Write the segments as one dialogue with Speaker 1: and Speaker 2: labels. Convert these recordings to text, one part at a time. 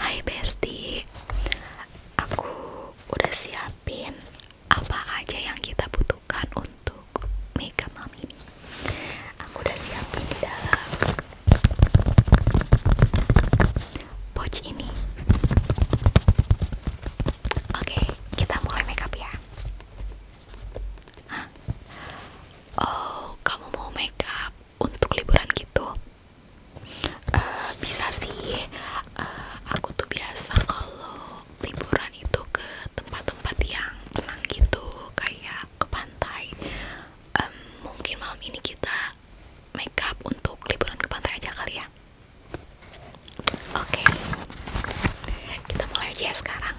Speaker 1: Hai Bestie, aku udah siapin apa aja yang kita butuhkan untuk makeup mami ini. Aku udah siapin di dalam pouch ini. Oke, kita mulai makeup ya oh kamu mau make up untuk liburan gitu uh, bisa sih uh, aku tuh biasa kalau liburan itu ke tempat-tempat yang tenang gitu kayak ke pantai um, mungkin malam ini kita make up untuk liburan ke pantai aja kali ya oke kita mulai aja ya sekarang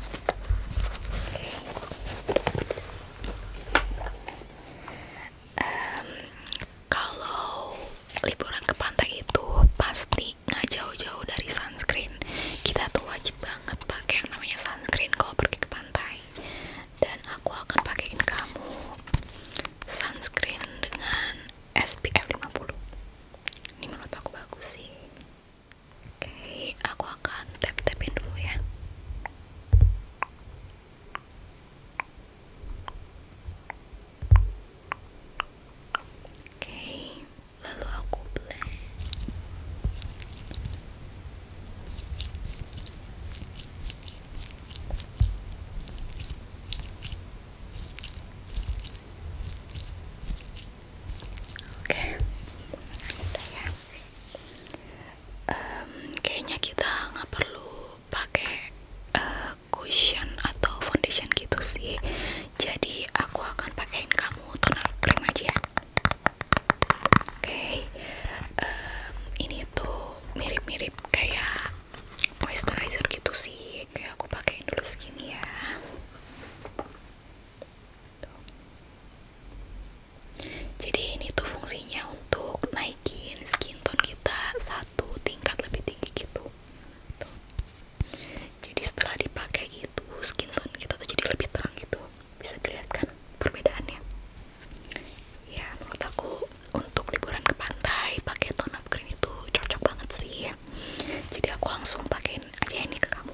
Speaker 1: kalau liburan ke pantai itu pasti nggak jauh-jauh dari sunscreen kita tuh wajib banget pakai yang namanya sunscreen kalau pergi ke pantai dan aku akan pakein kamu sunscreen dengan SPF 50 ini menurut aku bagus sih Oke, okay, aku akan tap-tapin dulu ya. Oke, lalu aku blend. Oke, okay. udah ya um, kayaknya kita nggak perlu pakai uh, cushion atau foundation gitu sih jadi aku akan pakaiin kamu toner krim aja oke ini tuh mirip-mirip kayak moisturizer gitu sih kayak aku pakaiin dulu segini ya jadi ini tuh fungsinya untuk naikin skin tone kita satu tingkat lebih tinggi gitu. Jadi setelah dipakai itu skin tone kita tuh jadi lebih terang gitu. Bisa dilihat kan perbedaannya? Ya menurut aku untuk liburan ke pantai pakai tone up green itu cocok banget sih. Jadi aku langsung pakein aja ini ke kamu.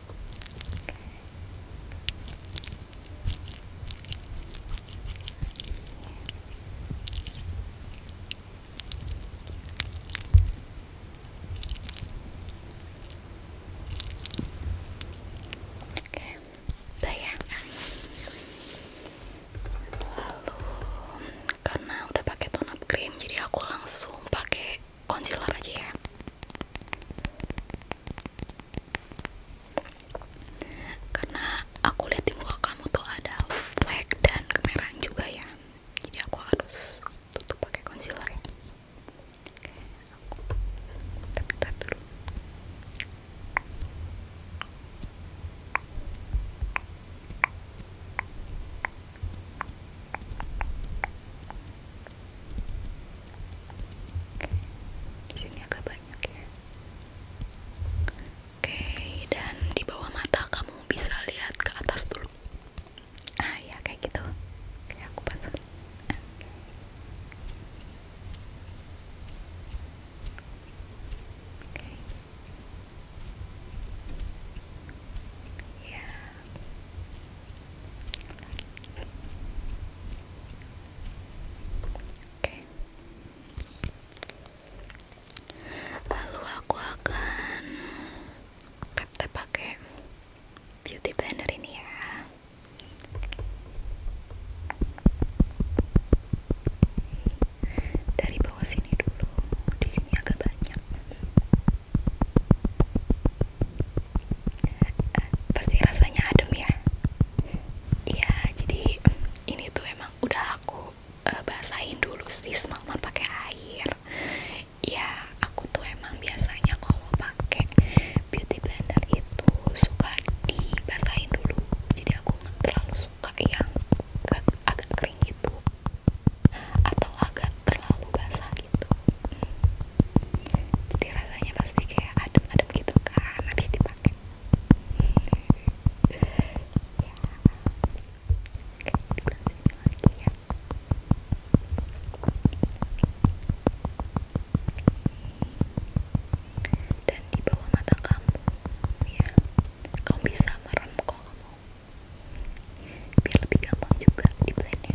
Speaker 1: Oke, ya. lalu karena udah pakai tone cream jadi aku langsung pakai concealer aja ya karena aku lihat di muka kamu tuh ada flek dan kemerahan juga ya jadi aku harus tutup pakai concealer ya di sini agak banyak ya. Oke, dan di bawah mata kamu bisa lihat ke atas dulu. Ah ya kayak gitu. Kayak aku pasang. Oke. Ya lalu aku akan tap pakai beauty blender ini ya dari bawah sini dulu di sini agak banyak pasti rasanya adem ya ya jadi mm, ini tuh emang udah aku eh, basahin dulu sih semalaman pakai air ya aku tuh emang biasanya kalau pakai beauty blender itu suka dibasahin dulu jadi aku nggak terlalu suka yang agak kering gitu atau agak terlalu basah gitu jadi rasanya pasti kayak adem-adem gitu kan habis dipakai dan di bawah mata kamu ya bisa merem biar lebih gampang juga di blendnya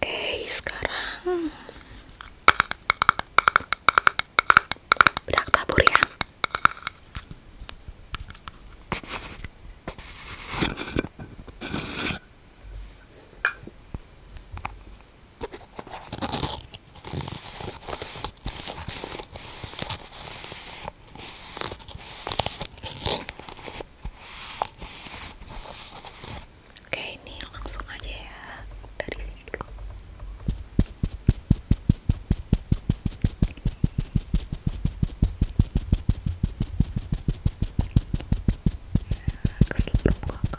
Speaker 1: Oke, sekarang bedak tabur ya. Oke, ini langsung aja ya dari sini dulu. Ke seluruh muka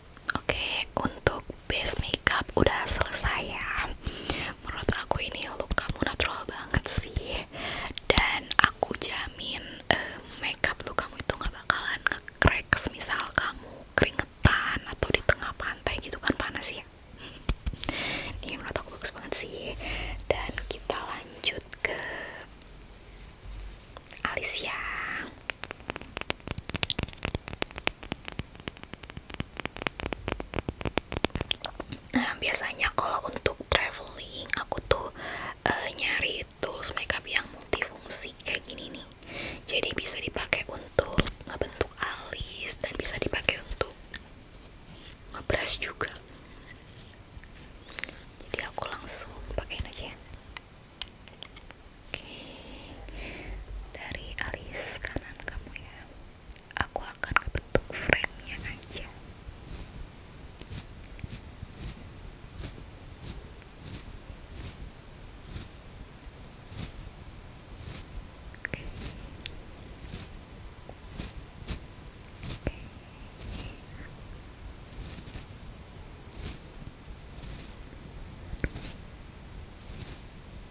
Speaker 1: Oke, untuk base makeup udah selesai ya. Menurut aku ini look kamu natural banget sih. Dan aku jamin eh, makeup look kamu itu gak bakalan nge-crack misal kamu keringetan atau di tengah pantai gitu kan panas ya. ini menurut aku bagus banget sih. Dan kita lanjut ke alis ya. Nah biasanya kalau untuk traveling aku tuh uh, nyari tools makeup yang multifungsi kayak gini nih. Jadi bisa dipakai untuk ngebentuk alis dan bisa dipakai untuk ngebrush juga. Jadi aku langsung pakai aja. Ya dari alis kanan kamu ya, aku akan kebentuk frame-nya aja.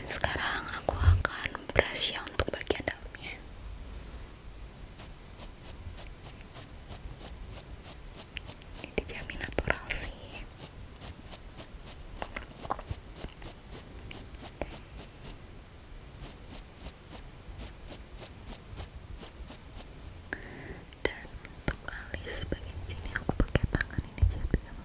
Speaker 1: Dan sekarang aku akan brush ya untuk bagian dalamnya ini dijamin natural sih dan untuk alis bagian sini aku pakai tangan ini jadi kamu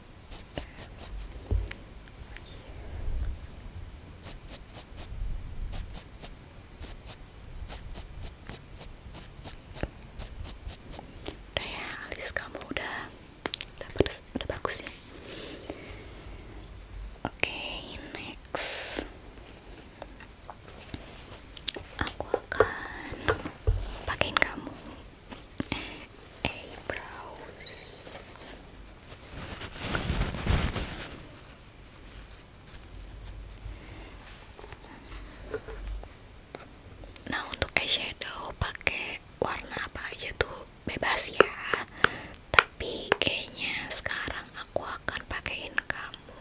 Speaker 1: Udah ya, alis kamu udah udah, pedes, udah bagus ya. Oke, next. Aku akan pakaiin kamu eyebrows nah untuk eyeshadow pake warna apa aja tuh bebas ya tapi kayaknya sekarang aku akan pakein kamu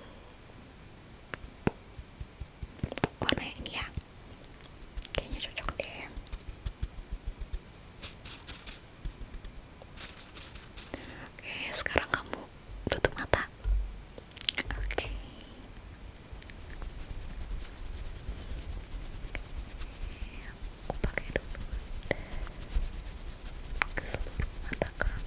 Speaker 1: warna ini ya kayaknya cocok deh Oke, sekarang kamu tutup mata. Oke. Aku pakai dulu ke seluruh mata kamu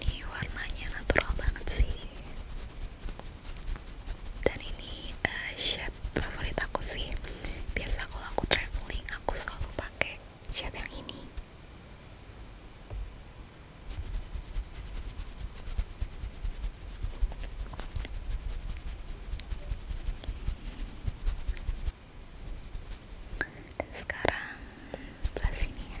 Speaker 1: ini warnanya natural banget sih dan ini uh, shade favorit aku sih biasa kalau aku traveling aku selalu pakai shade yang ini sekarang belah ini ya.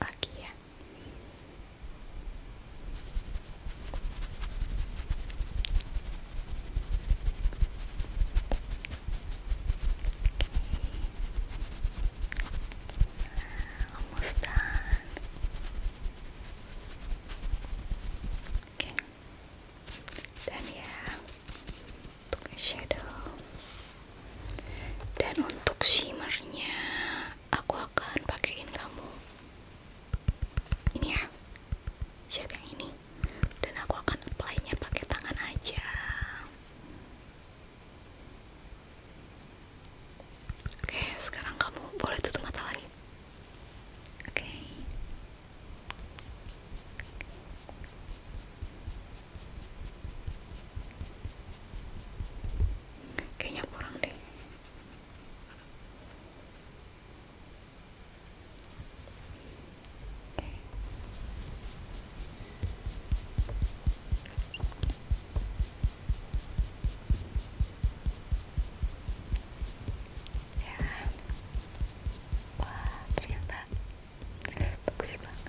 Speaker 1: Aquí ya. Okay. Almost done. Okay. Dan ya untuk shadow dan untuk shimmernya aku akan pakaiin kamu ini ya siap yang ini dan aku akan apply pakai tangan aja oke sekarang kamu boleh tutup mata lagi oke kayaknya kurang deh ya wah ternyata bagus banget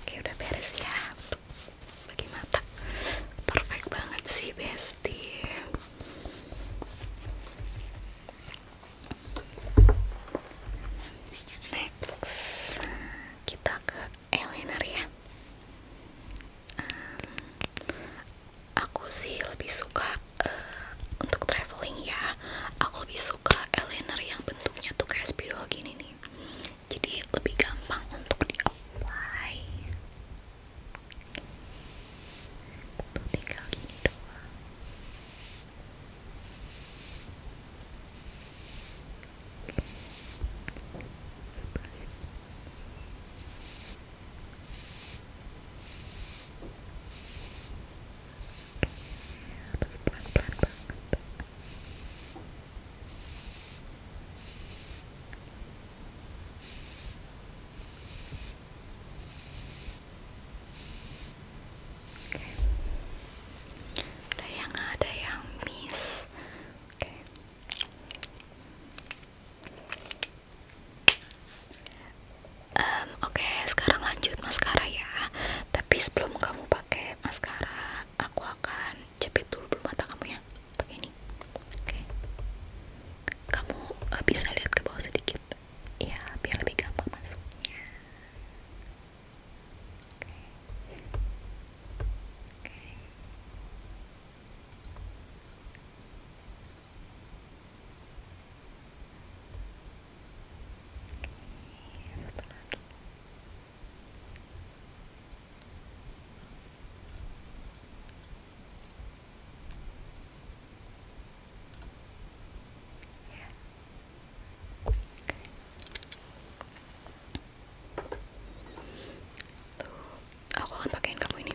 Speaker 1: Oke udah beres ya Bagi mata Perfect banget sih bestie Next Kita ke eyeliner ya Aku sih lebih suka eh, Untuk traveling ya Aku lebih suka eyeliner yang bentuknya tuh kayak spidol gini nih jadi lebih gampang untuk di apply untuk tinggal gini doang Oke. Ada yang ada yang miss. Oke. Oke, sekarang lanjut maskara ya. Tapi sebelum kamu pakai maskara, aku akan jepit dulu bulu mata kamu ya pakai ini oke kamu eh, bisa lihat ke bawah sedikit ya biar lebih gampang masuknya aku akan pakaiin kamu ini.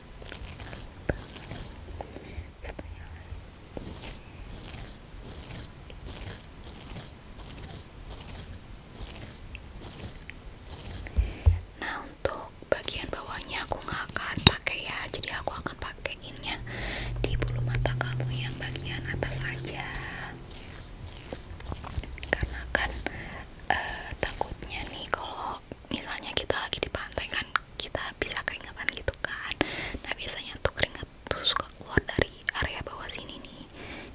Speaker 1: nah untuk bagian bawahnya aku nggak akan pakai ya jadi aku akan pakaiinnya di bulu mata kamu yang bagian atas aja karena kan eh, takutnya nih kalau misalnya kita lagi di pantai kan kita bisa keringetan gitu kan nah biasanya tuh keringat tuh suka keluar dari area bawah sini nih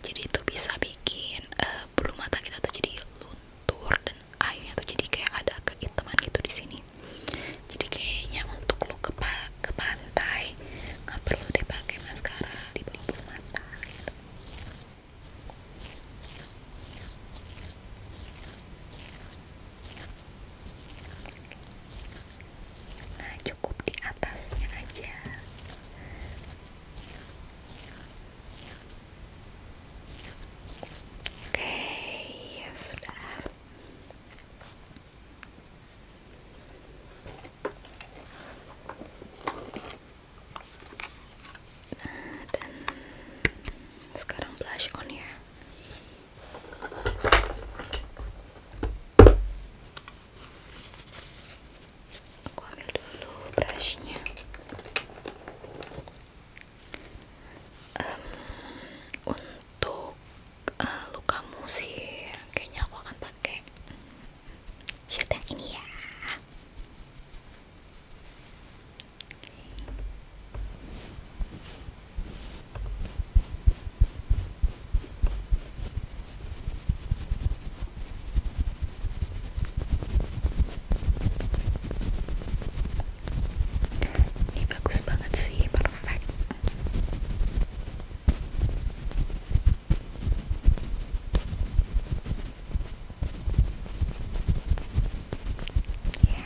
Speaker 1: jadi itu bisa bikin uh, bulu mata kita tuh jadi luntur dan airnya tuh jadi kayak ada kehitaman gitu di sini jadi kayaknya untuk lu ke, ke pantai nggak perlu deh pakai maskara di bulu mata gitu Nah, cukup di atasnya aja. Oke, ya sudah dan sekarang blush on ya aku ambil dulu brushnya um, untuk uh, lukamu sih kayaknya aku akan pakai shade ini ya ini bagus banget sih, perfect. Ya.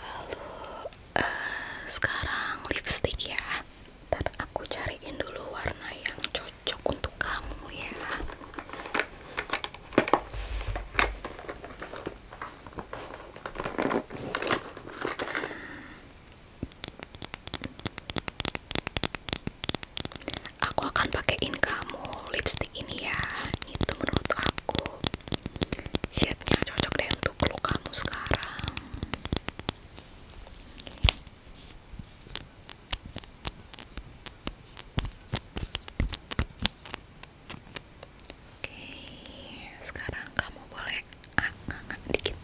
Speaker 1: lalu eh, sekarang lipstik ya. Ntar aku cariin dulu warna yang cocok untuk kamu ya aku akan pakein kamu lipstik ini ya itu menurut aku shape-nya cocok deh untuk look kamu sekarang Oke, sekarang kamu boleh ah, dikit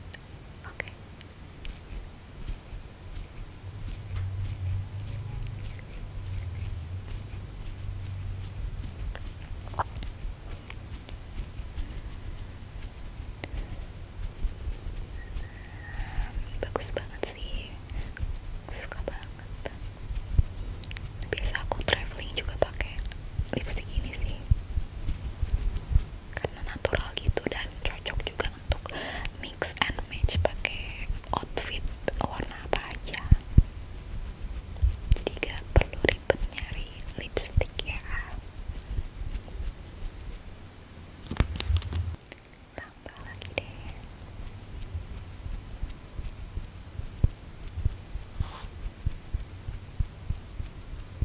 Speaker 1: oke bagus banget sih suka banget biasa aku traveling juga pakai lipstik ini sih karena natural gitu dan cocok juga untuk mix and match pakai outfit warna apa aja jadi gak perlu ribet nyari lipstick ya tambah lagi deh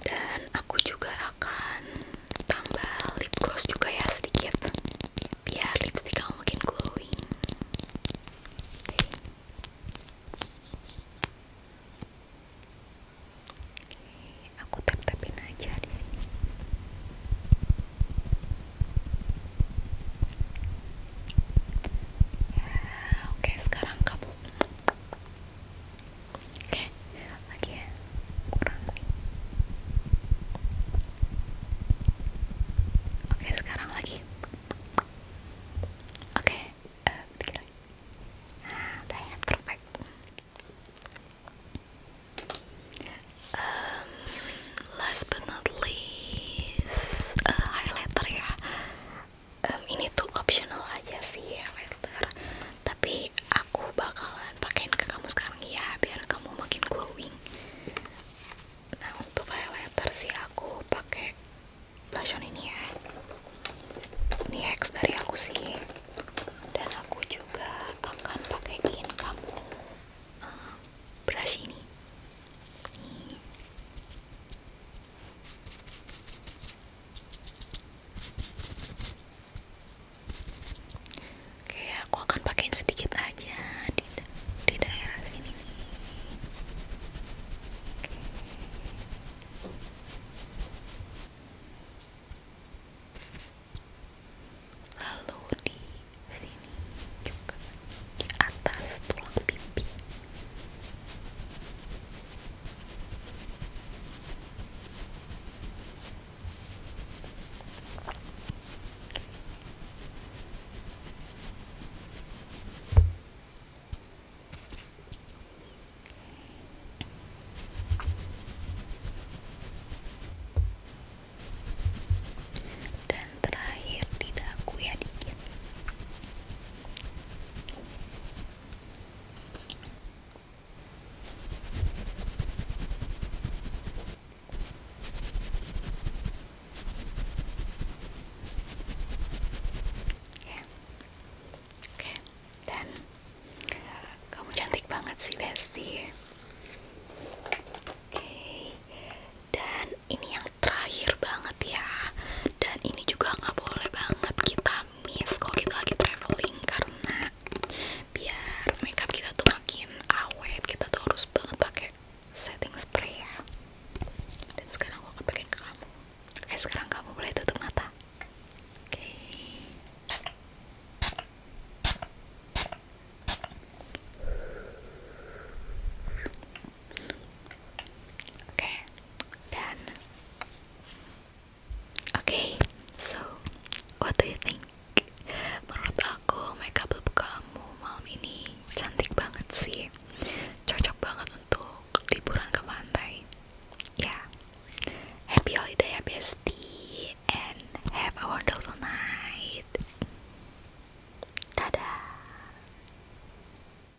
Speaker 1: dan aku juga akan tambah lip gloss juga ya sedikit biar lipstick kamu makin glowing Oke, aku tap tapin aja di sini Oke, sekarang kamu. Oke, lagi ya. Kurang nih. Oke, sekarang lagi. Oke, uh, eh, dikit lagi. Nah, udah ya, perfect. Um, last but not least, uh, highlighter ya um, ini tuh optional aja sih ya filter tapi aku bakalan pakein ke kamu sekarang ya biar kamu makin glowing nah untuk highlighter sih aku pakai blush ini ya ini X dari aku sih dan aku juga akan pakaiin kamu uh, brush ini Oke, aku akan pakein sedikit aja di, daerah sini. Oke. Lalu di sini juga di atas tulang pipi dan terakhir di dagu ya dikit ya oke dan eh, kamu cantik banget sih Besti oke dan ini yang terakhir banget ya dan ini juga nggak boleh banget kita miss kalau kita lagi traveling karena biar makeup kita tuh makin awet kita tuh harus banget pakai setting spray ya dan sekarang aku akan pakai kamu oke eh, sekarang kamu boleh tutup mata oke Okay, done. Okay, so what do you think? Menurut aku makeup look kamu malam ini cantik banget sih. Cocok banget untuk liburan ke pantai. Yeah. Happy holiday ya bestie and have a wonderful night. Dadah.